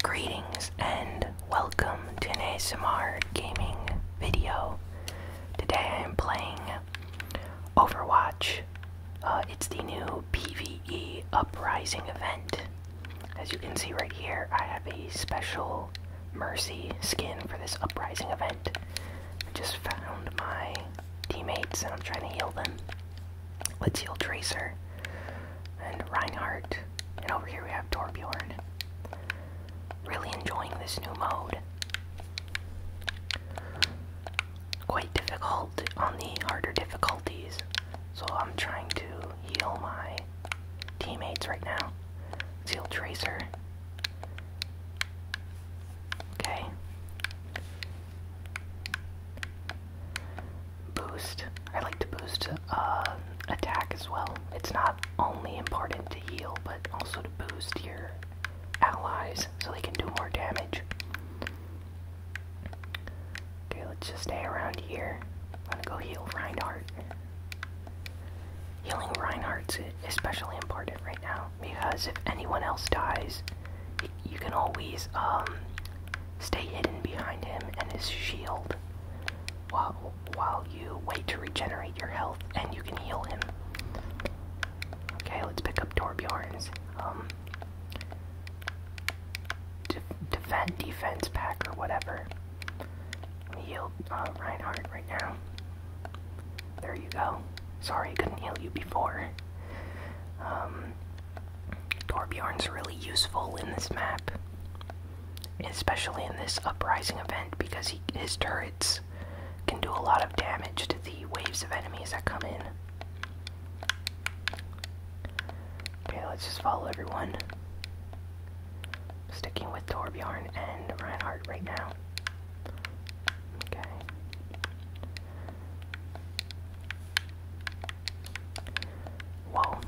Greetings and welcome to an ASMR gaming video. Today I'm playing Overwatch. Uh, it's the new PvE Uprising event. As you can see right here, I have a special Mercy skin for this Uprising event. I just found my teammates and I'm trying to heal them. Let's heal Tracer, and Reinhardt. And over here we have Torbjorn. Really enjoying this new mode. Quite difficult on the harder difficulties, so I'm trying to heal my teammates right now. Heal Tracer. Okay boost. I like to boost uh, attack as well. It's not only important to heal, but also to boost your allies so they can do more damage. Okay, let's just stay around here. I'm gonna go heal Reinhardt. Healing Reinhardt's especially important right now because if anyone else dies, you can always um, Stay hidden behind him and his shield while, while you wait to regenerate your health and you can heal him. Okay, let's pick up Torbjorn's. Um, defend, defense pack or whatever. Heal uh, Reinhardt right now. There you go. Sorry, I couldn't heal you before. Um, Torbjorn's really useful in this map, especially in this uprising event because his turrets can do a lot of damage to the waves of enemies that come in. Okay, let's just follow everyone. Sticking with Torbjorn and Reinhardt right now. Okay. Whoa.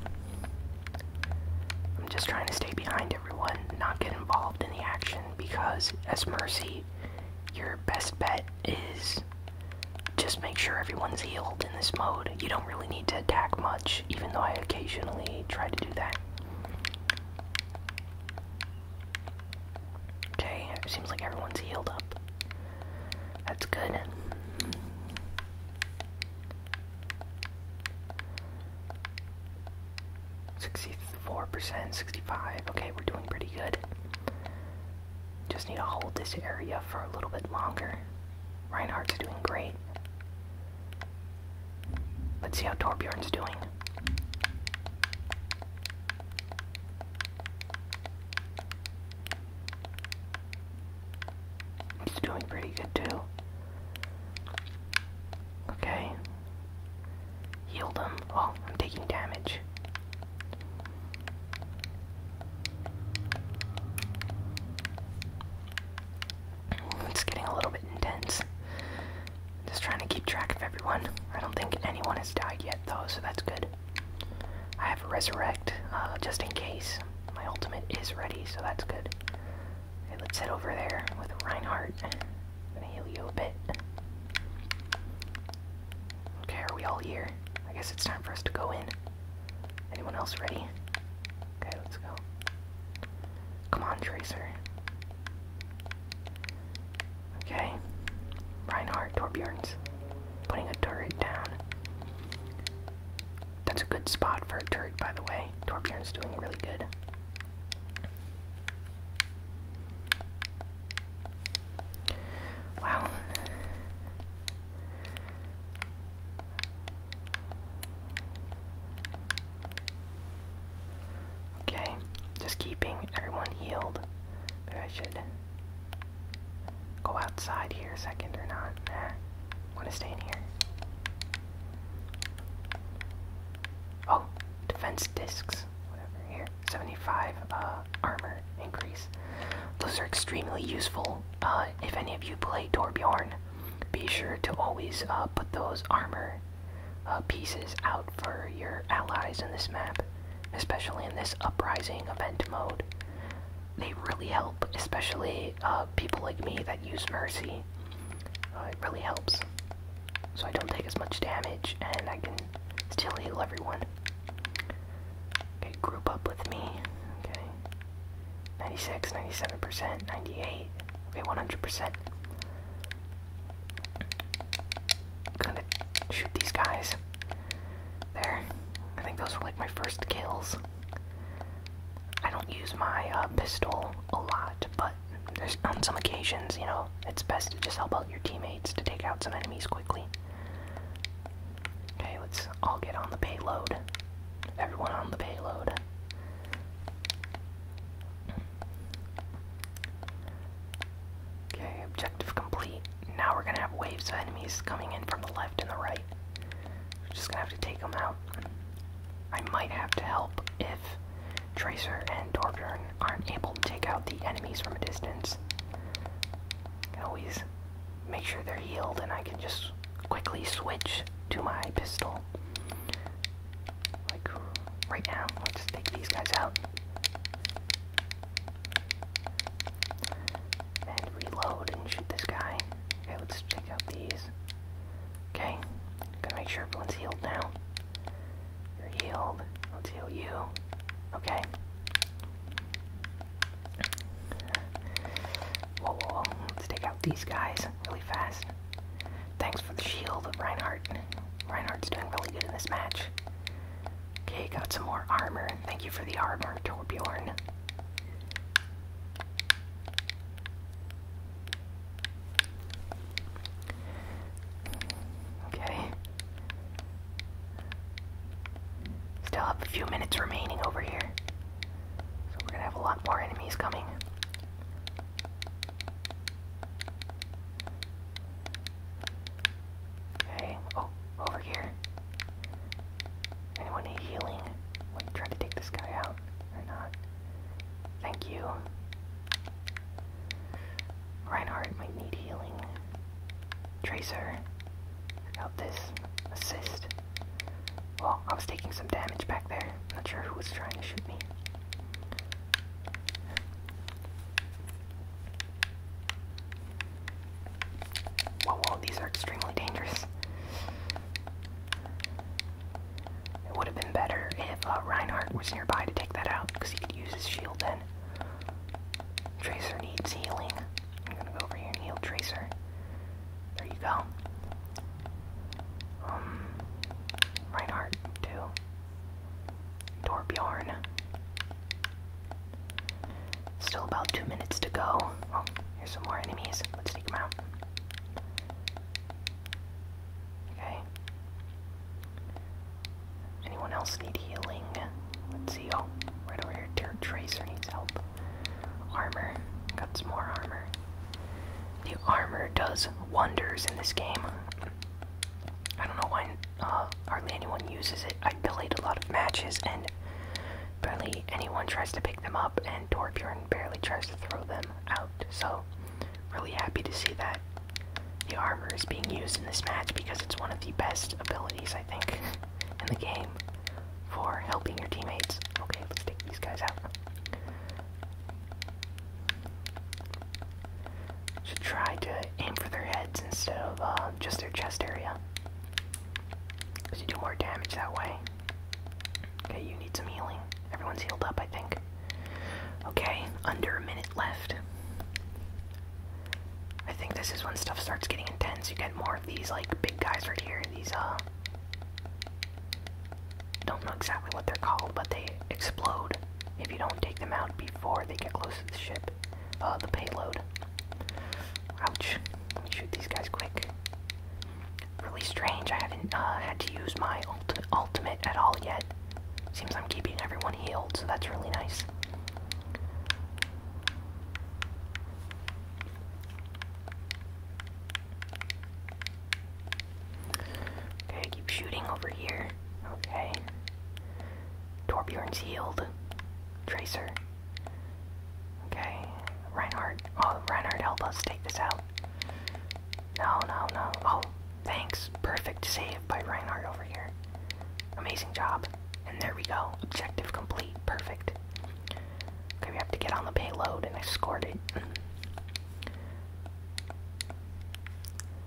I'm just trying to stay behind everyone, not get involved in the action, because as Mercy, your best bet is just make sure everyone's healed in this mode. You don't really need to attack much, even though I occasionally try to do that. Okay, it seems like everyone's healed up. That's good. Sixty-four percent, sixty-five. Okay, we're doing pretty good. Just need to hold this area for a little bit longer. Reinhardt's doing great. Let's see how Torbjorn's doing. He's doing pretty good too. Okay. Healed him. Oh, I'm taking damage. It's getting a little bit intense. Just trying to keep track of everyone. I don't think anyone has died yet, though, so that's good. I have Resurrect, uh, just in case. My ultimate is ready, so that's good. Okay, let's head over there with Reinhardt. I'm gonna heal you a bit. Okay, are we all here? I guess it's time for us to go in. Anyone else ready? Okay, let's go. Come on, Tracer. Okay. Reinhardt, Torbjorns putting a turret down. That's a good spot for a turret, by the way. Torbjorn's doing really good. Wow. Okay, just keeping everyone healed. Maybe should go outside here a second or not? Nah, want to stay in here. Oh, defense discs, whatever here. 75 uh, armor increase. Those are extremely useful. if any of you play Torbjorn, be sure to always uh, put those armor uh, pieces out for your allies in this map, especially in this uprising event mode they really help, especially uh, people like me that use Mercy. Uh, it really helps. So I don't take as much damage and I can still heal everyone. Okay, group up with me. Okay. 96, 97%, 98. Okay, 100%. Gonna shoot these guys. There. I think those were like my first kills. I don't use my uh, pistol a lot, but there's on some occasions, you know, it's best to just help out your teammates to take out some enemies quickly. Okay, let's all get on the payload. Everyone on the payload. Okay, objective complete now we're gonna have waves of enemies coming in from the left and the right. We're just gonna have to take them out. I might have to help if Tracer and Torbjorn aren't able to take out the enemies from a distance. I always make sure they're healed and I can just quickly switch to my pistol. Like right now, let's take these guys out. And reload and shoot this guy. Okay, let's check out these. Okay, going to make sure everyone's healed now. You're healed. I'll heal you. Okay. Whoa, whoa, whoa. Let's take out these guys really fast. Thanks for the shield, Reinhardt. Reinhardt's doing really good in this match. Okay, got some more armor. Thank you for the armor, Torbjorn. Okay. Still have a few minutes remaining over here. So we're gonna have a lot more enemies coming. Okay, oh, over here. Anyone need healing? Wait, try to take this guy out or not. Thank you. Reinhardt might need healing. Tracer, help this. Assist. Well, I was taking some damage back there. Not sure who was trying to shoot me. Whoa, whoa, these are extremely dangerous. It would have been better if uh, Reinhardt was nearby to take that out, because he could use his shield then. Tracer needs healing. I'm gonna go over here and heal Tracer. There you go. Um, Reinhardt, too. Torbjorn. Still about two minutes to go. Oh, here's some more enemies. Let's take them out. Okay. Anyone else need healing? Let's see. Oh, right over here. Ter Tracer needs help. Armor. Got some more armor. The armor does wonders in this game. I don't know why uh, uh, hardly anyone uses it. I delayed a lot of matches, and barely anyone tries to pick them up, and Torbjorn barely tries to throw them out. So, really happy to see that the armor is being used in this match because it's one of the best abilities, I think, in the game for helping your teammates. Okay, let's take these guys out. Should try to aim for their heads instead of uh, just their chest area. Because you do more damage that way. Okay, you need some healing. Everyone's healed up, I think. Okay, under a minute left. I think this is when stuff starts getting intense. You get more of these, like, big guys right here. These, uh. Don't know exactly what they're called, but they explode if you don't take them out before they get close to the ship. Uh, the payload. Ouch. Let me shoot these guys quick. Really strange, I haven't uh, had to use my ult ultimate at all yet. Seems I'm keeping everyone healed, so that's really nice. Okay, keep shooting over here. Okay. Torbjorn's Yield. Tracer. Okay. Reinhardt. Oh, Reinhardt, help us take this out. No, no, no. Oh, thanks. Perfect save by Reinhardt over here. Amazing job. And there we go. Objective complete. Perfect. Okay, we have to get on the payload, and I scored it.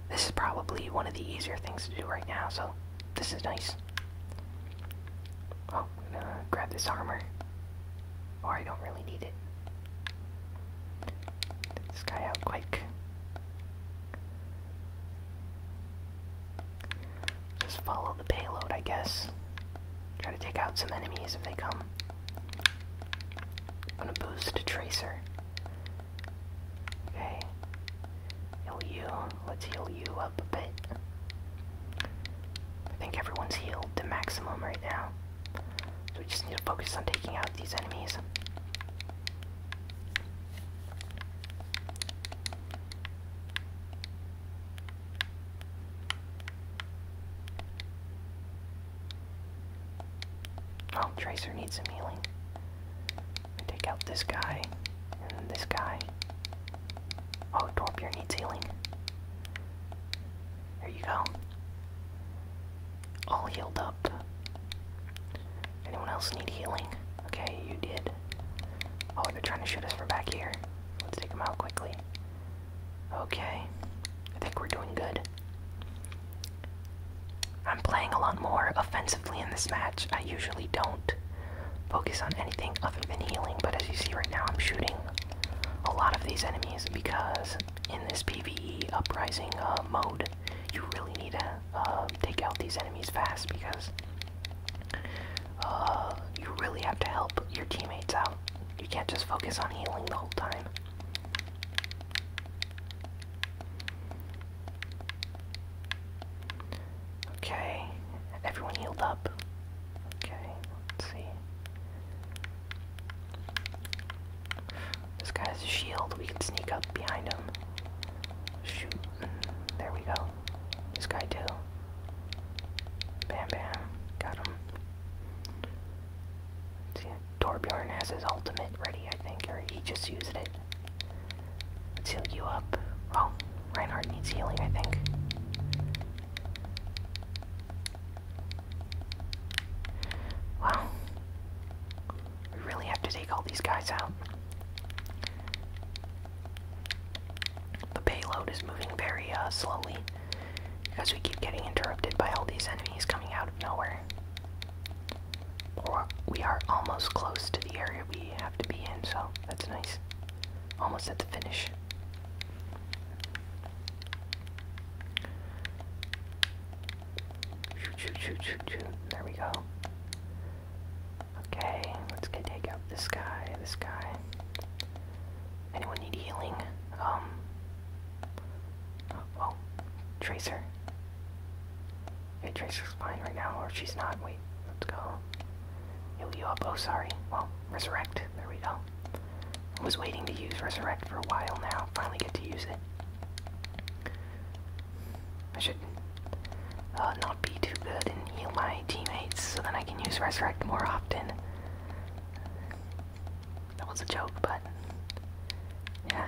This is probably one of the easier things to do right now, so this is nice. Oh, gonna grab this armor. Or I don't really need it. this guy out quick. Just follow the payload, I guess. Try to take out some enemies if they come. gonna boost a tracer. Okay. Heal you. Let's heal you up a bit. I think everyone's healed to maximum right now. So we just need to focus on taking out these enemies. Oh, Tracer needs some healing take out this guy, and then this guy. Oh, Dorpier needs healing. There you go. All healed up. Anyone else need healing? Okay, you did. Oh, they're trying to shoot us from back here. Let's take them out quickly. Okay. I think we're doing good. I'm playing a lot more offensively in this match. I usually don't focus on anything other than healing, but as you see right now, I'm shooting a lot of these enemies because in this PvE uprising uh, mode, you really need to uh, take out these enemies fast because uh, you really have to help your teammates out. You can't just focus on healing the whole time. Okay, everyone healed up. Okay, let's see. This guy has a shield, we can sneak up behind him. Shoot. There we go. This guy too. Bam bam. Got him. let see, Torbjorn has his ultimate ready, I think, or he just used it. Let's heal you up. Oh, Reinhardt needs healing, I think. Wow. We really have to take all these guys out. The payload is moving very uh, slowly because we keep getting interrupted by all these enemies coming out of nowhere we are almost close to the area we have to be in, so that's nice. Almost at the finish. Shoot, shoot, shoot, shoot, shoot. There we go. Okay, let's go take out this guy, this guy. Anyone need healing? Um. Oh, Tracer. Hey, Tracer's fine right now, or she's not. Wait, let's go. Heal you up. Oh, sorry. Well, Resurrect. There we go. I was waiting to use Resurrect for a while now. Finally get to use it. I should uh, not be too good and heal my teammates so then I can use Resurrect more often. That was a joke, but yeah.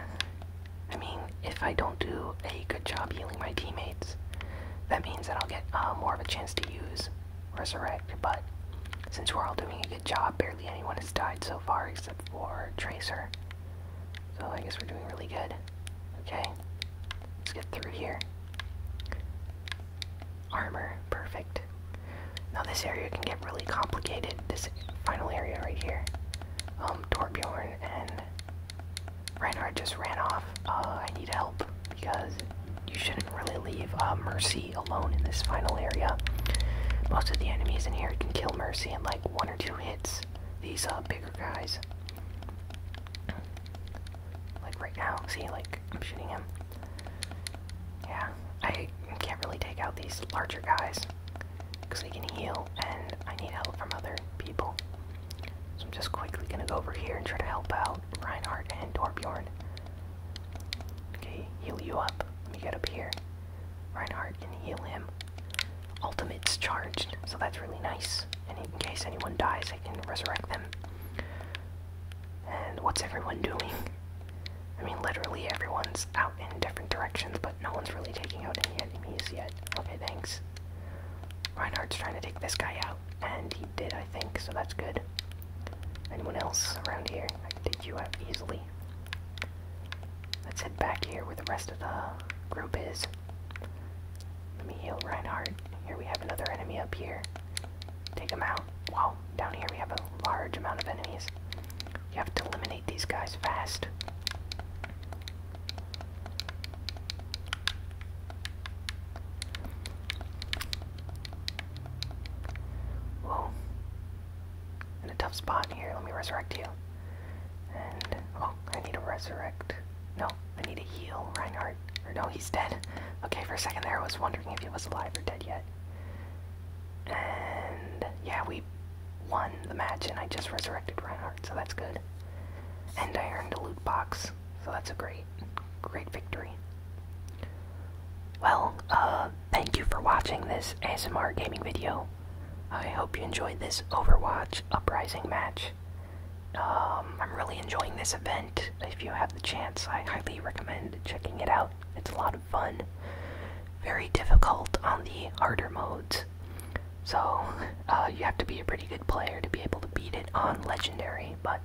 I mean, if I don't do a good job healing my teammates, that means that I'll get uh, more of a chance to use Resurrect, but since we're all doing a good job, barely anyone has died so far except for Tracer. So I guess we're doing really good. Okay, let's get through here. Armor, perfect. Now this area can get really complicated, this final area right here. Um, Torbjorn and Reinhardt just ran off. Uh, I need help because you shouldn't really leave uh, Mercy alone in this final area. Most of the enemies in here can kill Mercy in like one or two hits. These uh, bigger guys. Like right now, see, like I'm shooting him. Yeah, I can't really take out these larger guys. Because we can heal, and I need help from other people. So I'm just quickly gonna go over here and try to help out Reinhardt and Torbjorn. Okay, heal you up. Let me get up here. Reinhardt can heal him. Ultimate's charged, so that's really nice. And in case anyone dies, I can resurrect them. And what's everyone doing? I mean, literally everyone's out in different directions, but no one's really taking out any enemies yet. Okay, thanks this. Reinhardt's trying to take this guy out, and he did, I think, so that's good. Anyone else around here? I can take you out easily. Let's head back here where the rest of the group is. Let me heal Reinhardt. Here we have another enemy up here. Take him out. Wow, down here we have a large amount of enemies. You have to eliminate eliminate these guys fast. Whoa. In a tough spot here, let me resurrect you. oh, I need to resurrect. No, I need to heal Reinhardt. Or no, he's dead. Okay, for a second there I was wondering if he was alive or dead yet. And, yeah, we won the match, and I just resurrected Reinhardt, so that's good. And I earned a loot box, so that's a great, great victory. Well, uh, thank you for watching this ASMR gaming video. I hope you enjoyed this Overwatch Uprising match. Um, I'm really enjoying this event. If you have the chance, I highly recommend checking it out. It's a lot of fun. Very difficult on the harder modes. So, uh, you have to be a pretty good player to be able to beat it on Legendary, but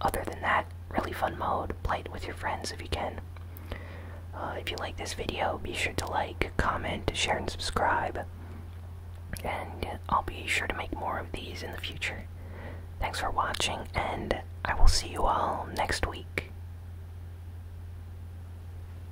other than that, really fun mode. Play it with your friends if you can. Uh, if you like this video, be sure to like, comment, share, and subscribe. And I'll be sure to make more of these in the future. Thanks for watching, and I will see you all next week.